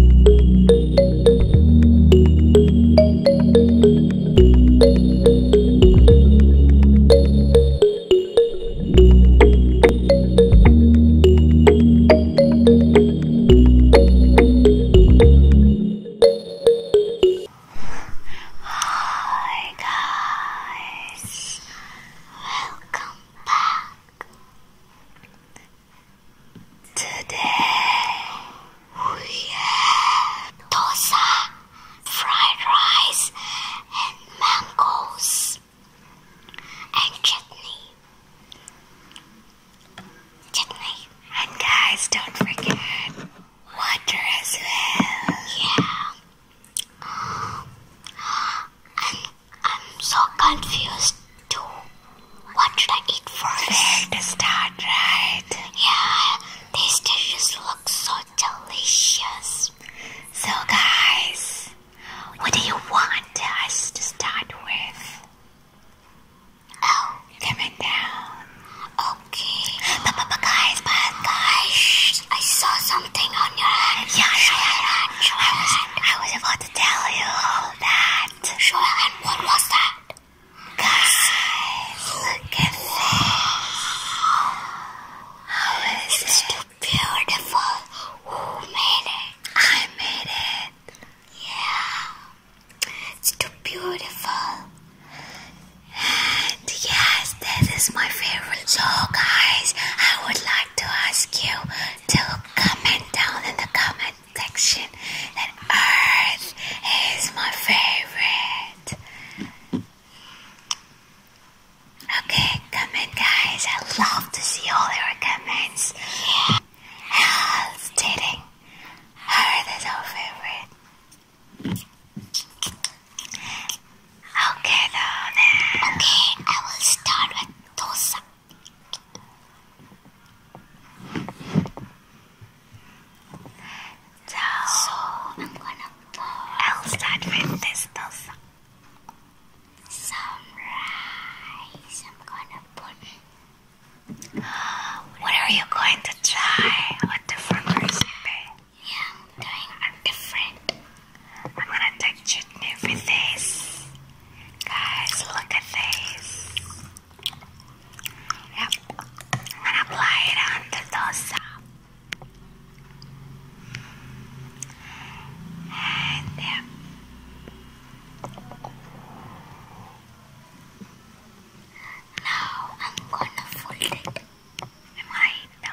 Hi guys, welcome back Today we have dosa, fried rice, and mangoes, and chutney. Chutney. And guys, don't forget water as well. Yeah. i I'm so confused. What should I eat first? Where to start, right? Yeah, these dishes look so delicious. So, guys, what do you want us to start with? Oh, coming down. Okay. But, but, but guys, but guys, I saw something on your hand. Yeah, yeah, yeah. I was, I was about to tell you all that Sure, and what was that? Guys, look at this. How is it? too beautiful. Who made it? I made it. Yeah. It's too beautiful. And yes, this my favorite. So guys, I would like to ask you to comment down in the comment section and Earth is my favorite. Okay, comment guys. I love to see all your comments. Yeah. dating. Earth is our favorite. Okay then. Okay, I will start with Tosa. So I'm gonna put. I'll start with I'm gonna put. What are you going to try? What different recipe? Yeah, i doing a different. I'm gonna take chutney with this. Guys, look at this. Yep. I'm gonna apply it on the dosa. And Now I'm gonna fold it. Am I? No.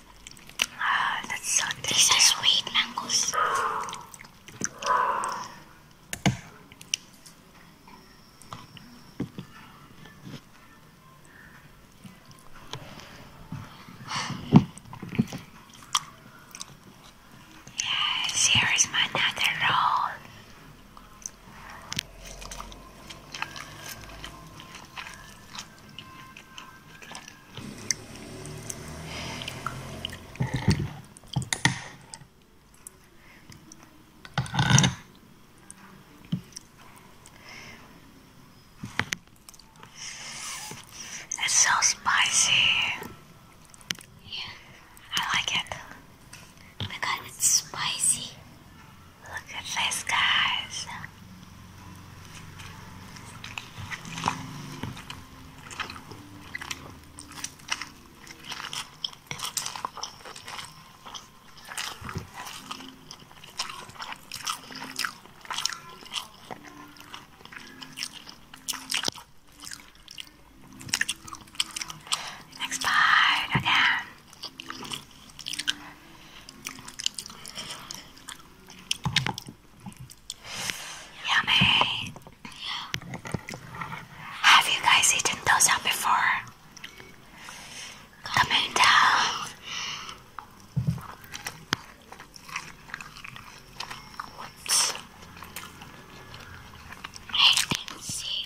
Ah, that's so These are sweet mangoes. Yes, here is my another roll. It's so spicy. Yeah, I like it. Oh my it's spicy. Look at this, guys. Next part again. Yummy! Have you guys eaten those out before? Comment down. Whoops. I didn't see.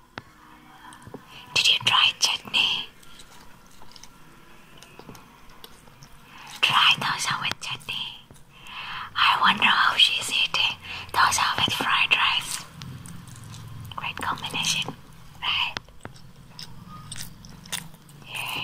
Did you try chutney? Try dosa with chutney. I wonder how she's eating dosa with fried rice. Great combination, right? Yeah.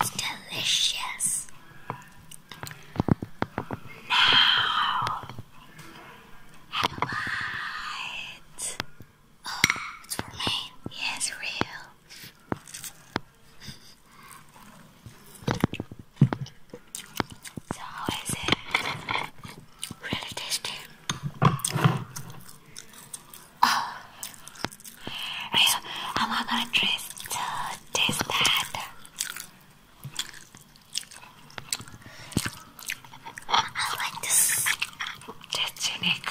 It's delicious. Now, have a bite. Oh, it's for me. Yeah, real. So, how is it? Really tasty. Oh, I'm not gonna taste, taste that. I like this. That's unique.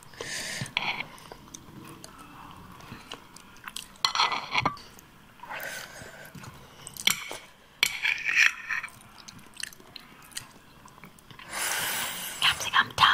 Capsicum time.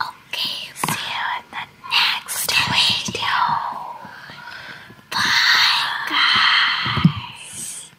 Okay, see you in the next video. Bye, guys.